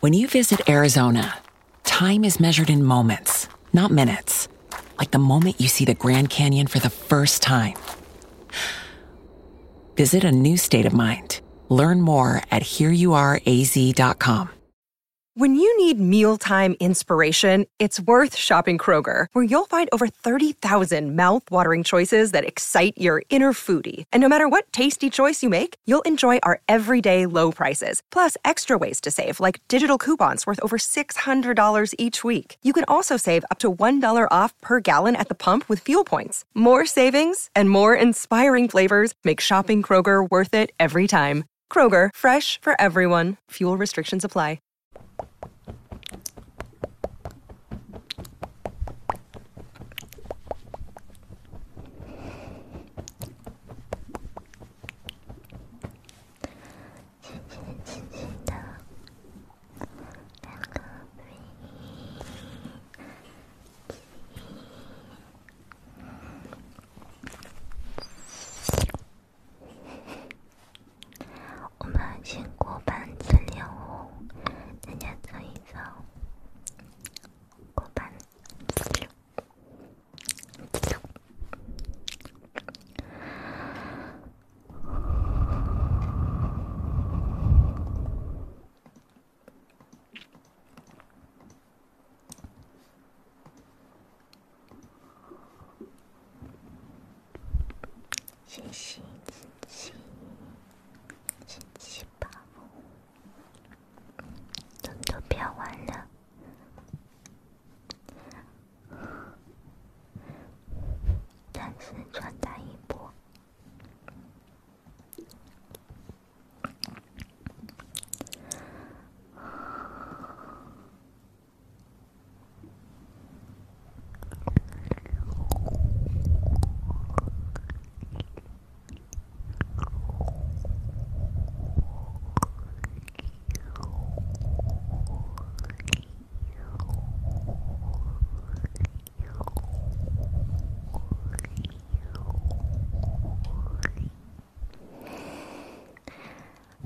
When you visit Arizona, time is measured in moments, not minutes. Like the moment you see the Grand Canyon for the first time. Visit a new state of mind. Learn more at hereyouareaz.com. When you need mealtime inspiration, it's worth shopping Kroger, where you'll find over 30,000 mouthwatering choices that excite your inner foodie. And no matter what tasty choice you make, you'll enjoy our everyday low prices, plus extra ways to save, like digital coupons worth over $600 each week. You can also save up to $1 off per gallon at the pump with fuel points. More savings and more inspiring flavors make shopping Kroger worth it every time. Kroger, fresh for everyone. Fuel restrictions apply. 亲亲亲亲的两个，我们先过班资料哦，大家注意上过班资料。星星，星星，星星宝宝。都漂完了，暂时穿戴一波。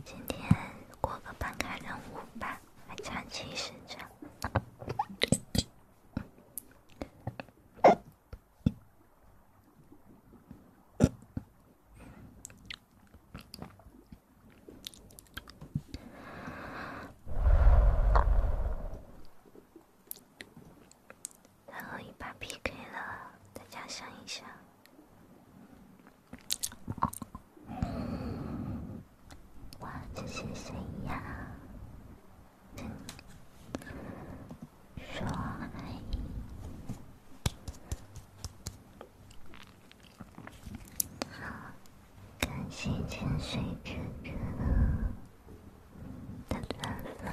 今天过个办卡任务吧，还长期是这样。最后一把 PK 了，大家想一想。哇，这是谁呀？说爱，好，感谢潜水者的转发。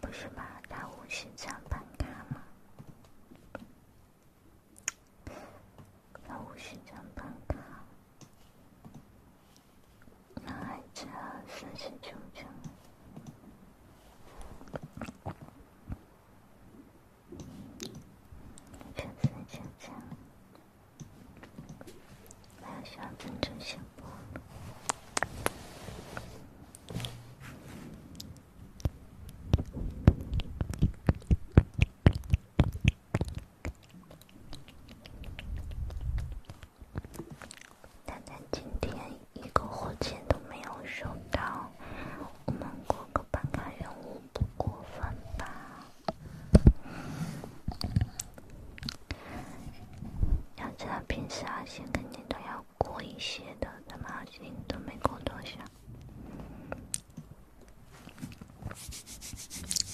不是吗？那五星奖办卡吗？那五星奖办卡，那还差三十九张。但但今天一个火箭都没有收到，我们哥哥。半个月不过分吧？要这样平时二星肯定都要过一些的，咱们二星都没过多少。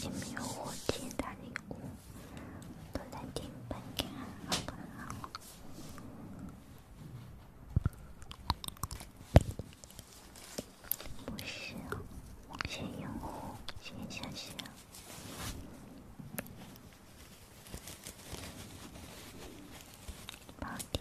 有没有火箭大礼物？都在听本，你好不好？不是，某些用户先想想，垃圾。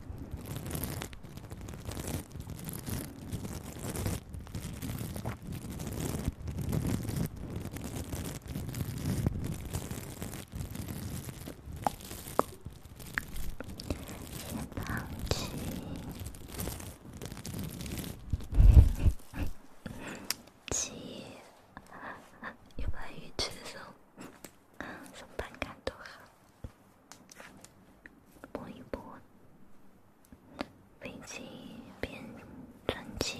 别放弃，记 有把鱼吃送，送饼干多好。播一播《飞机变战机》。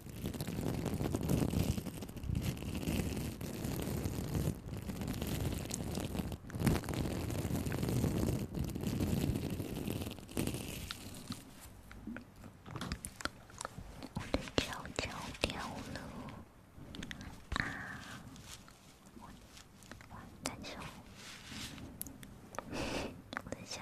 我的脚脚掉了啊！我的脚，我的脚。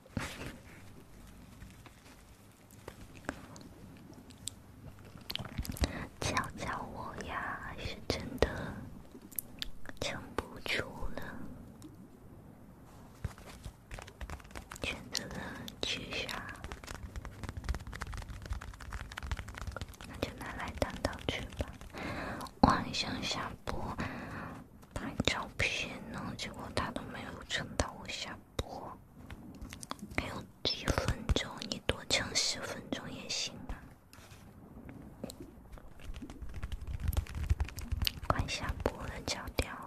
教 教我呀，是真的撑不出了，选择了取消，那就拿来当刀去吧，往生下播。拍照片呢，结果他都没有撑到我下播。还有几分钟，你多撑十分钟也行吧。快下播了，脚掉了。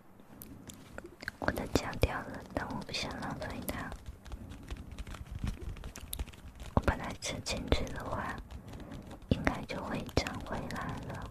我的牙掉了，但我不想浪费它。我本来吃青菜的话，应该就会长回来了。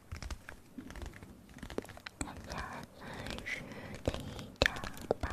大家继续听讲吧。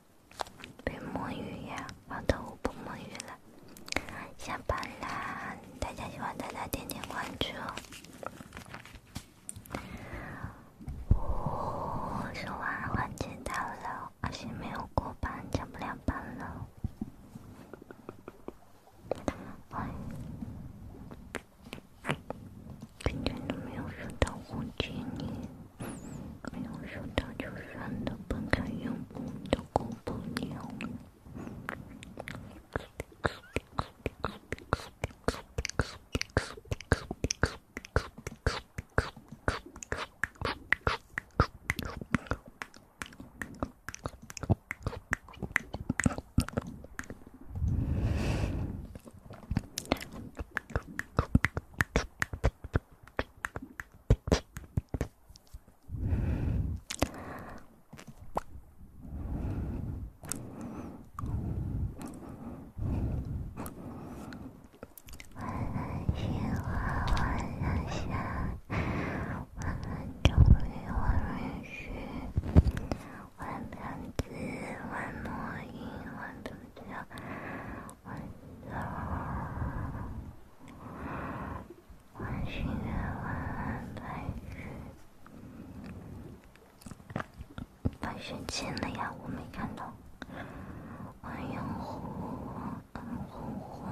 别摸鱼呀！好的，我不摸鱼了，下班啦！大家喜欢大家点点关注哦。呜，说完换剪刀了，而且没有过班，上不了班了。哎，感觉都没有收到呼机呢。没有收到就删的，不敢用，都过不了。我很喜欢，我很想，我很重要，允许，我很急，我很忙，我很重要，我骄傲。弯新月，弯弯白云。弯身前了呀，我没看到。晚眼虎，晚安虎虎，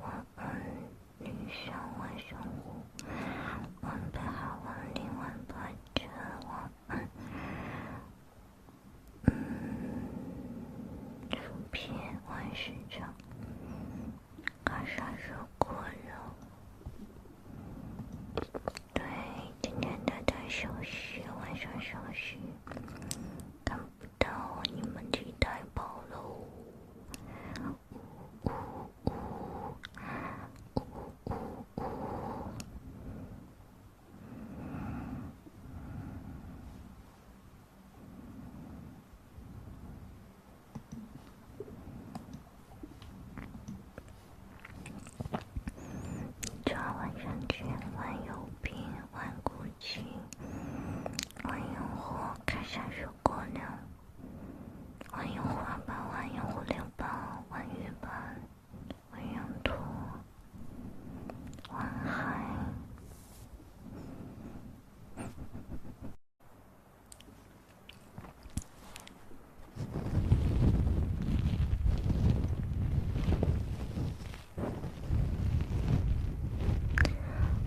晚安女胸，弯胸骨，弯背好，弯领弯背肩，晚安嗯，薯片、万事成、干啥水果肉。对，今天大家休息，晚上休息，看不到你们太棒了！呜呜呜呜呜！抓蚊香，去万有瓶，换鼓琴，换油壶，开小水果篮，换油花板，换油蝴蝶板，换雨板，换油图。晚安，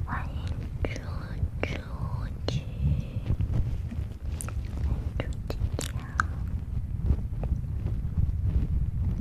欢迎猪猪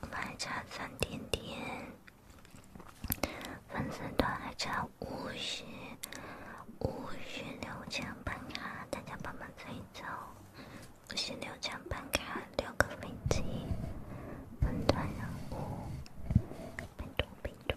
我还差三点点，粉丝团还差五十五十六张板卡，大家帮忙催一催，五十六张板卡六个粉鸡，粉团人，粉多粉多。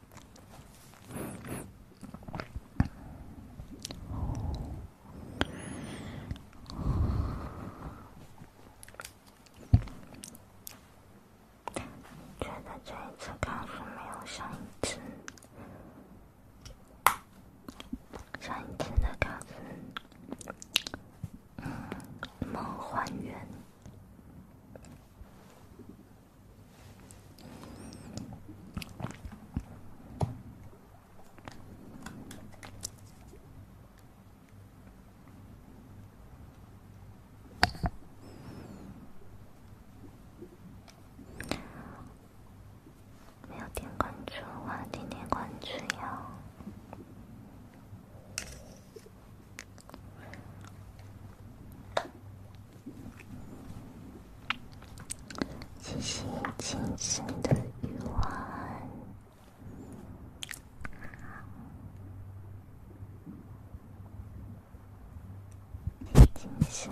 觉得这一次考试没有上一次，上一次的考试，嗯，梦幻园。没有点关注的话，点点关注哟。进行精神的游玩，精神。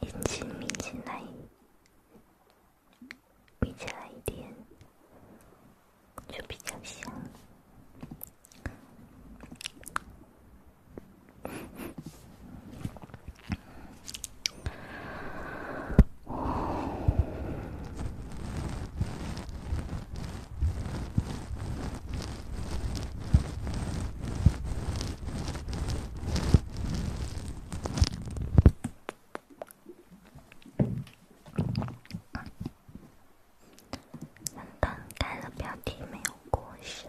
眼睛眯起来，眯起来一点，就比较香。等等，看了标题没有过审？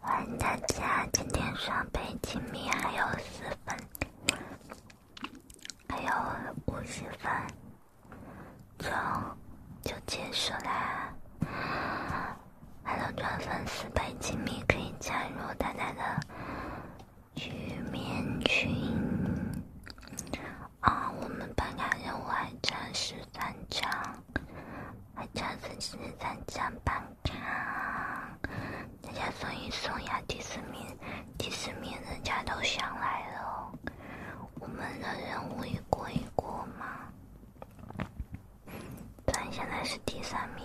欢迎大家！今天双倍亲密还有四分。还有五十分钟就结束啦！还有转粉四百，景密可以加入大家的局面群。啊，我们办卡任务还差十三张，还差四十三张办卡，大家送一送呀！第四名。第四名，人家都想来了，我们的任务一过一过嘛，咱现在是第三名。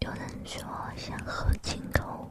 有人说想喝青口。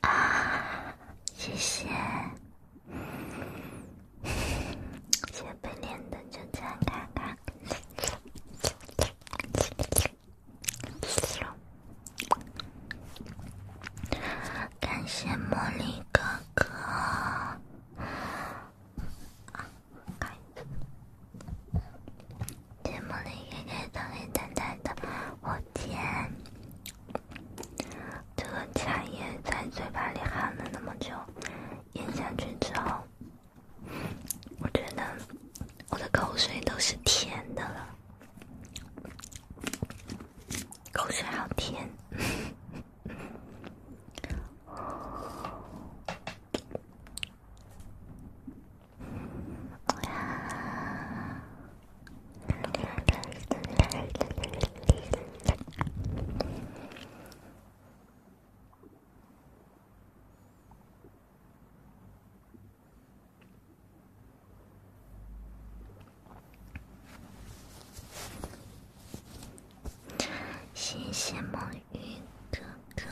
啊，谢谢！谢妹脸的就这样，看看。感谢茉莉哥哥，感谢茉莉哥哥，这个茶叶在嘴巴里含了那么久，咽下去之后，我觉得我的口水都是甜的了。口水好甜。谢谢梦云哥哥。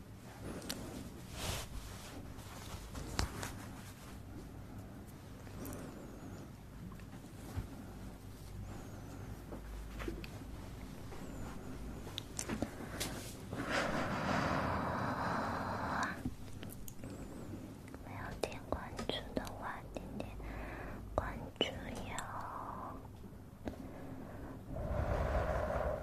哇！没有点关注的话，点点关注哟。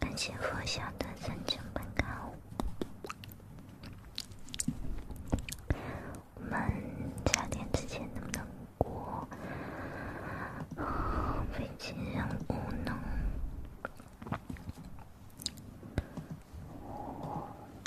感谢佛晓的三九班卡哦，我们加点之前能不能过飞行任务呢？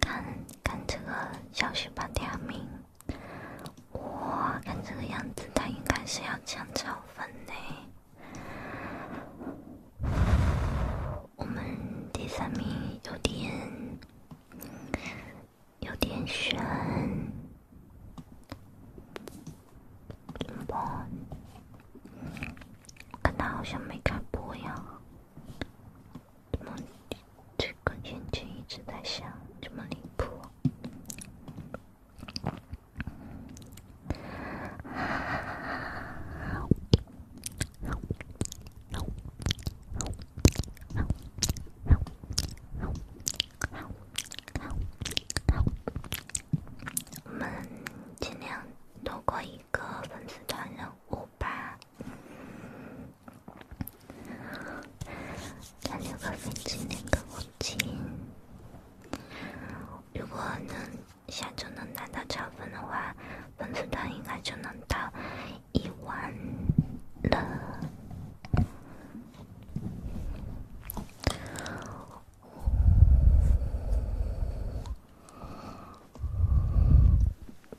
看看这个小旭榜第二名，哇！看这个样子，他应该是要抢超分呢。我们第三名有点有点悬。播，看他好像没开播呀。怎么，这个眼睛一直在笑，这么离谱。我们尽量多过一个粉丝团任务吧。那六个粉丝那个我进，如果能下周能拿到超分的话，粉丝团应该就能到一万了。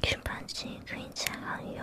平板机可以加好友。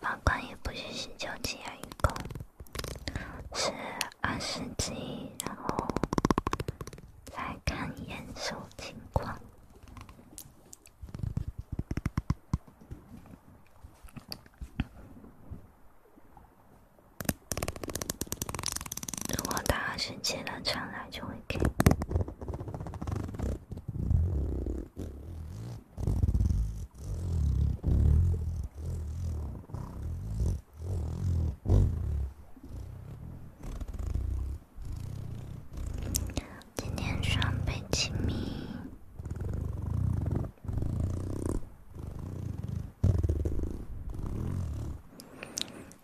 法官也不允许交钱预共是二十级，然后再看验收情况。如果他二十级了，再来就会给。今天双倍亲密，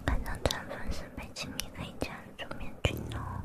晚上穿粉丝倍亲密的家居棉裙哦。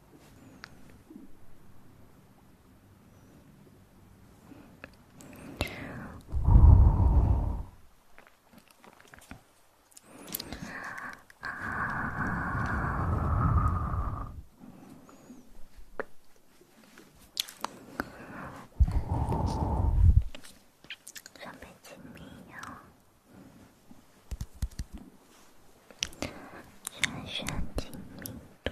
准备静音哟，调整静音度。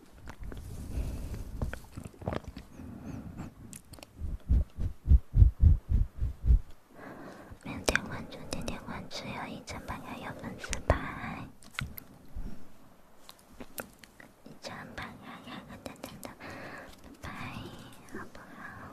点点关注，点点关注，要一千八百有粉丝牌，一千八百两个赞赞的，拜，好不好？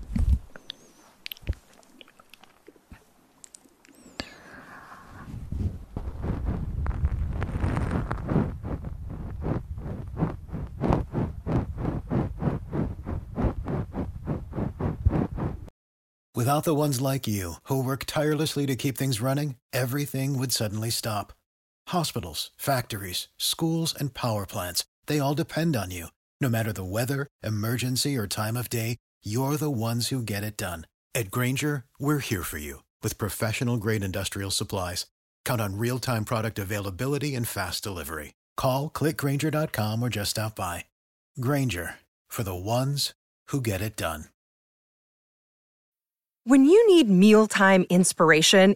Without the ones like you, who work tirelessly to keep things running, everything would suddenly stop. Hospitals, factories, schools, and power plants, they all depend on you. No matter the weather, emergency, or time of day, you're the ones who get it done. At Granger, we're here for you with professional grade industrial supplies. Count on real time product availability and fast delivery. Call clickgranger.com or just stop by. Granger for the ones who get it done. When you need mealtime inspiration,